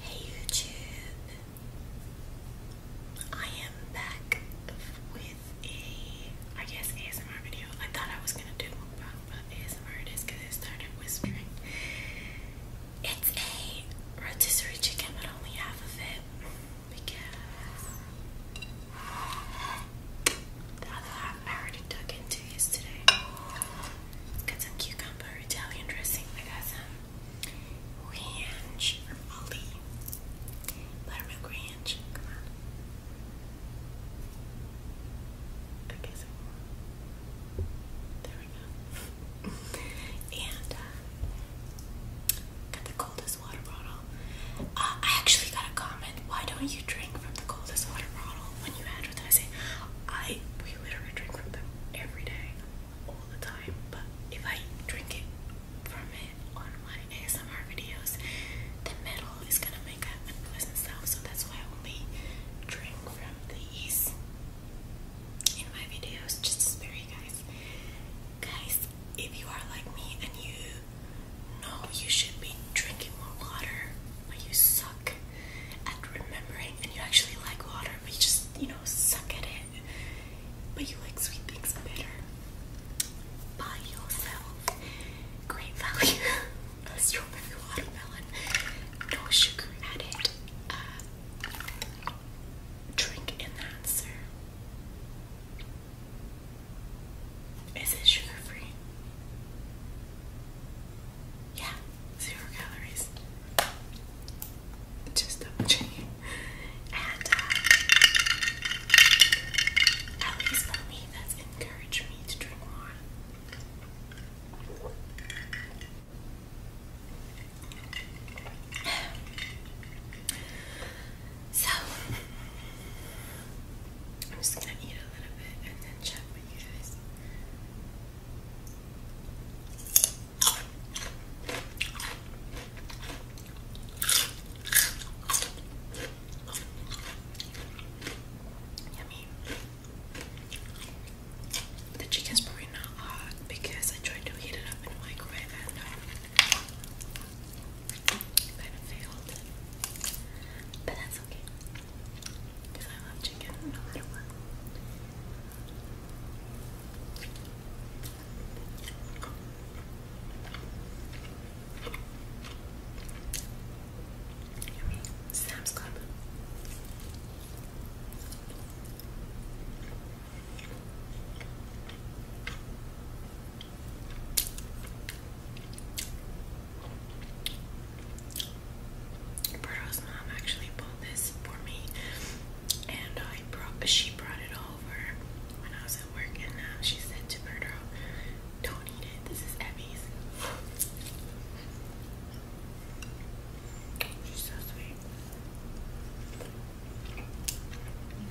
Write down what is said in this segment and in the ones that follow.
Hey YouTube, I am back with a, I guess ASMR video. I thought I was gonna do mukbang, but ASMR it is because it started whispering. It's a rotisserie chicken, but only half of it because the other half I already took into use Got some cucumber Italian dressing. I got ranch from Aldi. ranch. Come on. Okay, so there we go. and uh, got the cold uh, I actually got a comment. Why don't you drink from the coldest water bottle when you advertise it? I we literally drink from them every day, all the time. But if I drink it from it on my ASMR videos, the metal is gonna make an unpleasant sound. So that's why I only drink from these in my videos just to spare you guys. Guys, if you are like me and you know you should be drinking more water, but you suck at remembering and you actually like water, but you just, you know, suck at it, but you like sweet things better, buy yourself great value a strawberry watermelon, no sugar added. Uh, Drink enhancer. Is it sugar free? Yeah, zero calories. Just double checking. Uh, at least for me, that's encouraged me to drink more. So, I'm just gonna eat a little bit and then check with you guys. Yummy. The chicken's probably not hot because I tried to heat it up in the microwave and um, Kind of failed, but that's okay because I love chicken no matter what. Yummy. Sam's Club. Roberto's mom actually bought this for me, and I brought. She brought it over when I was at work, and uh, she said to Berto, "Don't eat it. This is Abby's." She's so sweet.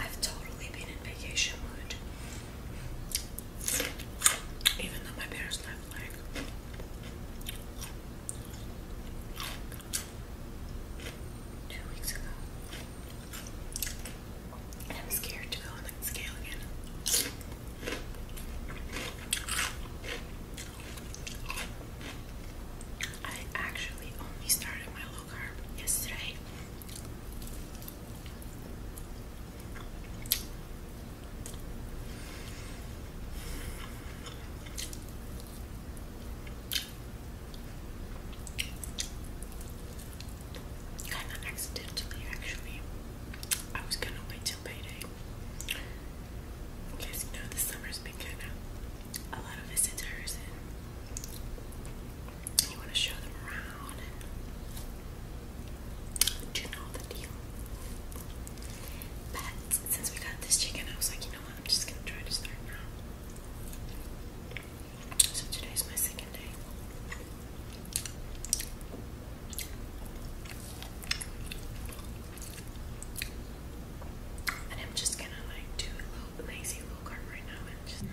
I've totally been in vacation mode, Even though my parents left like two weeks ago. And I'm scared to go on that scale again. I actually only started my low carb yesterday. Kind of accidentally, actually. I was gonna wait till payday. Because you know the summer's been kind of a lot of visitors and you want to show them around do you know the deal. But since we got this chicken, I was like, you know what, I'm just gonna try to start now. So today's my second day. And I'm just gonna like do a little lazy low carb right now and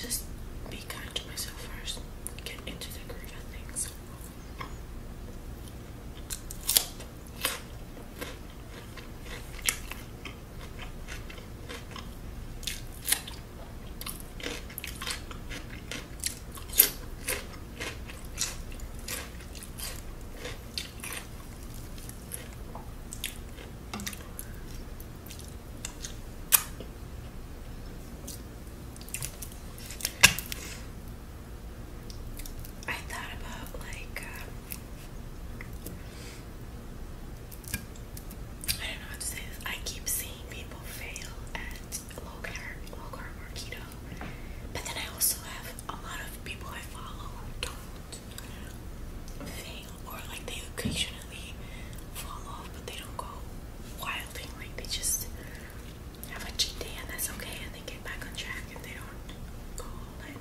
just be kind to myself first. Get into the groove of things. I thought about like uh, I don't know how to say this. I keep seeing people fail at low carb, low carb or keto, but then I also have a lot of people I follow who don't fail, or like they occasionally fall off, but they don't go wilding. Like they just have a cheat day and that's okay, and they get back on track and they don't go all in.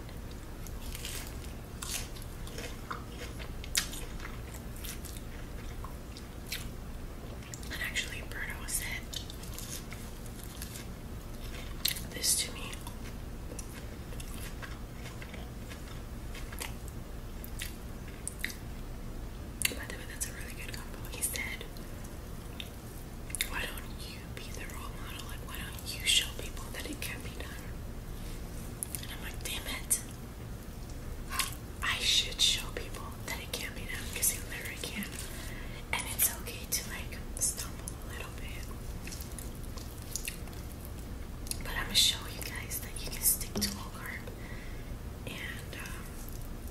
And actually, Bruno said this to me. By the way, that's a really good combo. He said, Why don't you be the role model? Like, why don't you show people that it can be done? And I'm like, damn it. I should show people that it can be done because you literally can. And it's okay to like stumble a little bit. But I'm gonna show you guys that you can stick to low carb and um,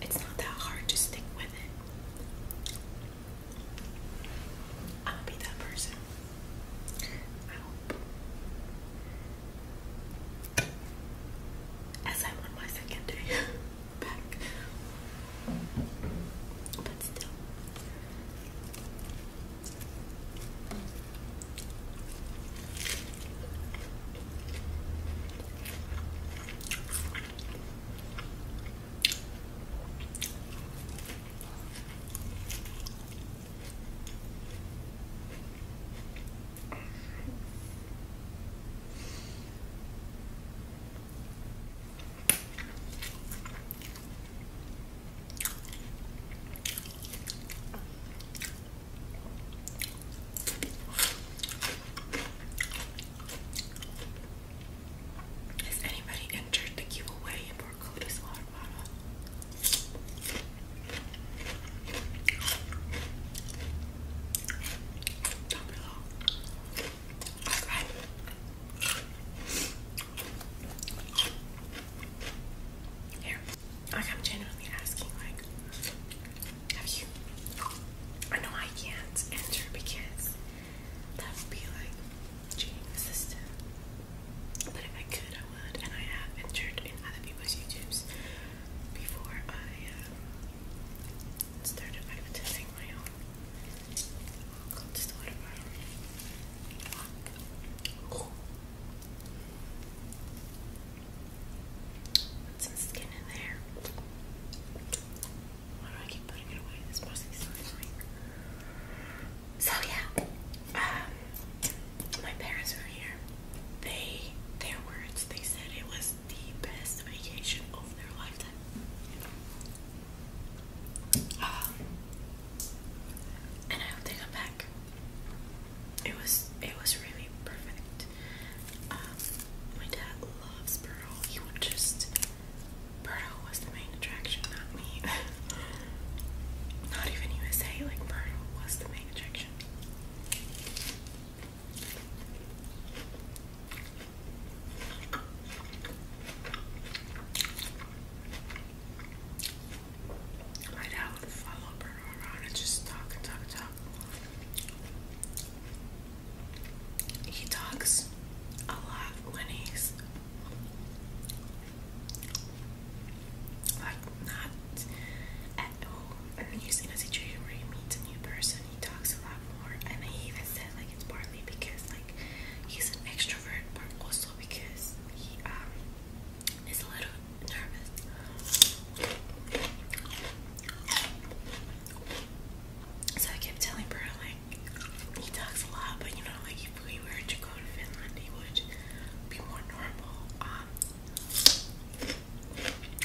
it's not that hard to stick with it. I'm gonna be that person as I'm my second day back. But still. Has anybody entered the giveaway for Coda's water bottle? Like I'm genuinely asking, like, have you I know I can't enter because that would be like cheating the system. But if I could I would and I have entered in other people's YouTubes before I uh, started privatizing my own cold storage bottle. Put some skin in there. Why do I keep putting it away? This mostly so annoying. So yeah, um, my parents were here they their words they said it was the best vacation of their lifetime. Ah. and I hope they come back. It was it was really perfect. Um, my dad loves Burrow. He would just Burrow was the main attraction, not me. not even USA, like Burrow was the main attraction. My dad would follow Bruno around and just talk, talk, talk. He talks a lot when he's like not at home and he's in a situation where he meets a new person, he talks a lot more. And he even said like it's partly because like he's an extrovert, but also because he um is a little nervous. So I kept telling Pearl like he talks a lot, but you know like if we were to go to Finland, he would be more normal. Um,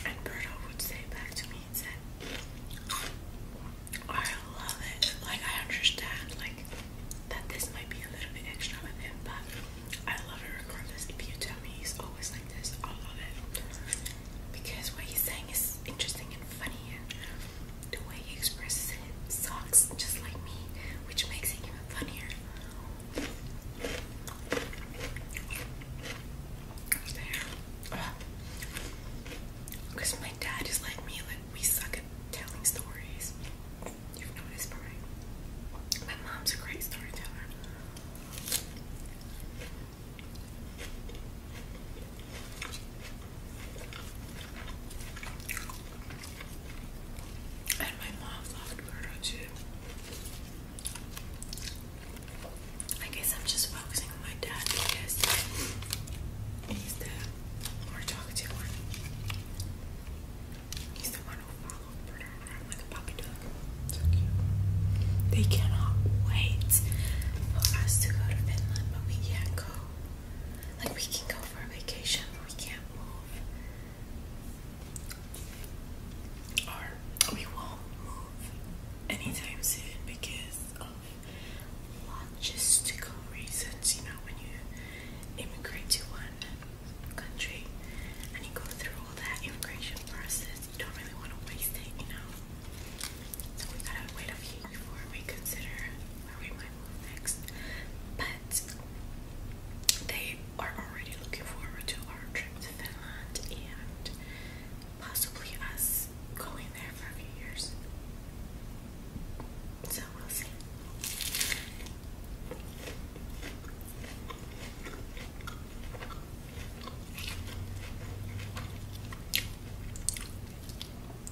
and Berto would say back to me and said, I love it. Like, I understand, like, that this might be a little bit extra with him, but I love it regardless. If you tell me he's always like this, I love it. Because what he's saying is interesting and funny, and the way he expresses it sucks just like me, which makes it even funnier. Because my dad is like me, like we suck at telling stories. You've noticed, right? My mom's a great storyteller. And my mom loved Birdo too. I guess I'm just focusing on my dad because he's the more talkative one. He's the one who followed Bruno around like a puppy dog. So cute. They cannot wait for us to go to Finland, but we can't go. Like we can go for a vacation, but we can't move or we won't move anytime soon because of logistical reasons. You know, when you immigrate to one country and you go through all that immigration process, you don't really want to waste it, you know. So we gotta wait a few before we consider where we might move next. But they are already looking forward to our trip and possibly us going there for a few years. So we'll see.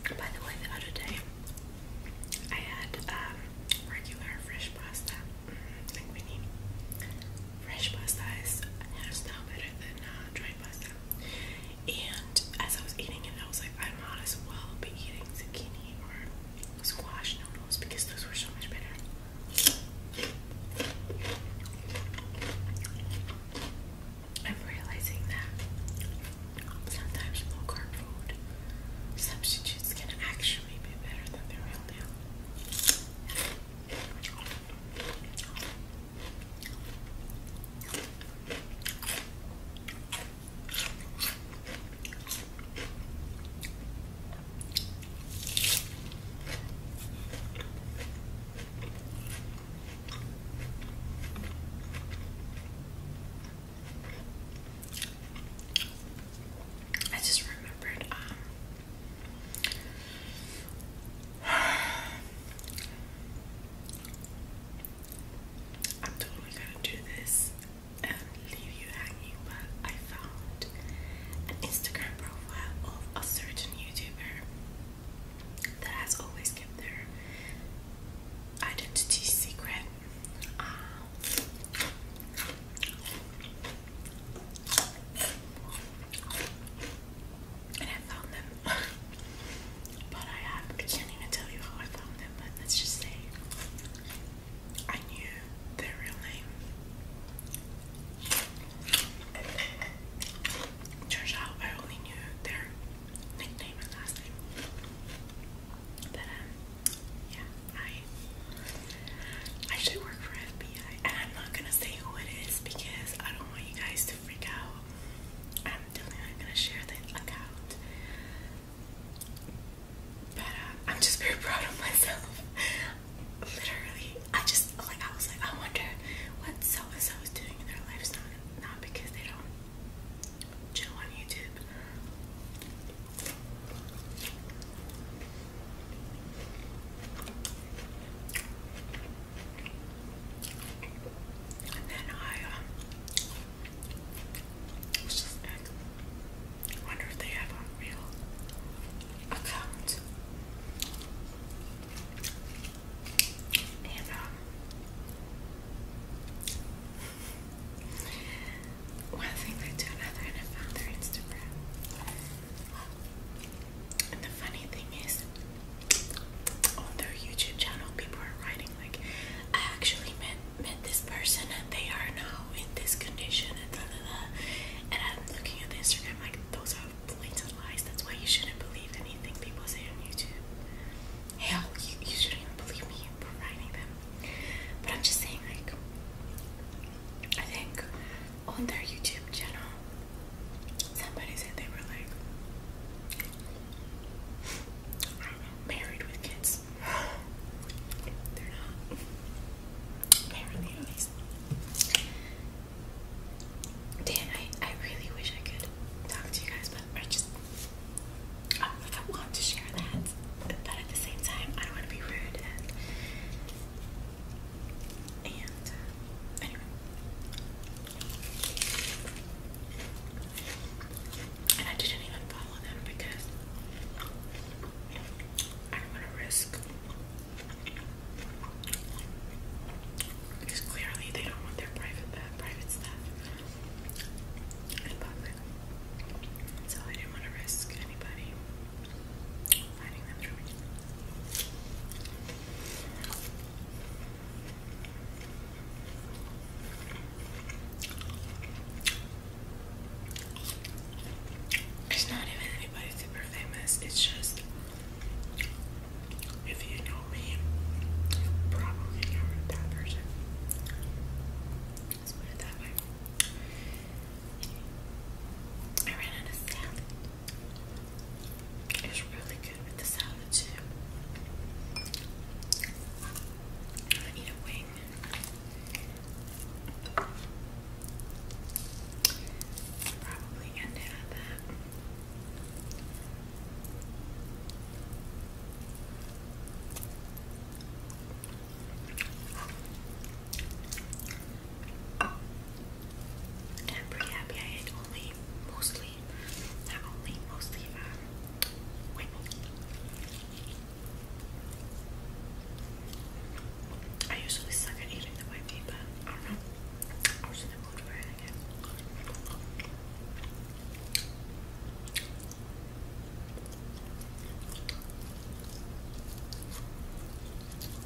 By the way, the other day I had um, regular fresh pasta like panini. Fresh pasta is hands down better than uh, dried pasta. And as I was eating it, I was like, I might as well be eating zucchini or squash noodles because those were so much better. I'm realizing that sometimes low carb food substitutes can actually be better than the real deal. I just remembered um, I'm totally gonna do this and leave you hanging, but I found an Instagram profile of a certain YouTuber that has always kept their identity secret. Um, and I found them. but I, can't even tell you how I found them, but let's just say I knew their real name. Turns out I only knew their nickname and last name. But um, yeah, I I actually work for FB I'm not gonna say who it is because I don't want you guys to freak out. I'm definitely not gonna share the account, but uh, I'm just very proud of myself. Literally, I just like I was like, I wonder what so and so doing in their lives now, not because they don't chill on YouTube. And then I, um, just wonder if they have a real account. And, um, one thing they do another, and I found their Instagram. And the funny thing is, on their YouTube channel, people are writing like, "I actually met met this person, and they are now in this condition," and I'm looking at the Instagram like, those are blatant lies. That's why you shouldn't believe anything people say on YouTube. Hell, you shouldn't even believe me providing them. But I'm just saying like. I think on their YouTube channel, somebody said they were like, I don't know, married with kids. They're not. Apparently, at least. Dan, I, I really wish I could talk to you guys, but I just, I, like, I want to share that, but at the same time, I don't want to be rude and uh, anyway. And I didn't even follow them because I don't to risk. Because clearly they don't want their private uh, private stuff in public. So I didn't want to risk anybody finding them through me. It's not even anybody super famous, it's just if you know me, you probably know that person. let put it that way. I ran out of salad. It's really good with the salad too. I need a wing. Probably end it at that. And I'm pretty happy I had only mostly, not only mostly, um, white I usually suck at eating the white meat, I don't know. I was in the mood for it again.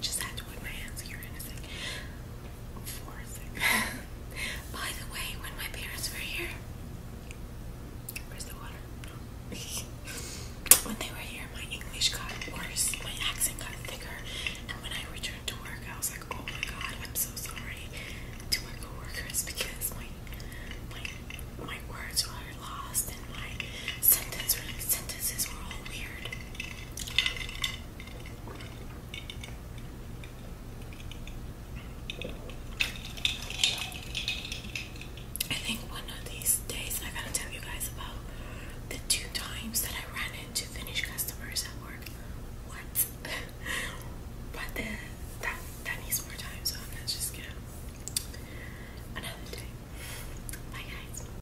Just had to put my hands here in a sec. For sec. By the way, when my parents were here, where's the water? when they were here, my English got worse. My accent got thicker. And when I returned to work, I was like, oh my god, I'm so sorry to my coworkers because my my words were lost and my sentence sentences were all weird. I think one of these days I gotta tell you guys about the two times that I ran into Finnish customers at work. What? but that that needs more time, so i just gonna another day. Bye guys.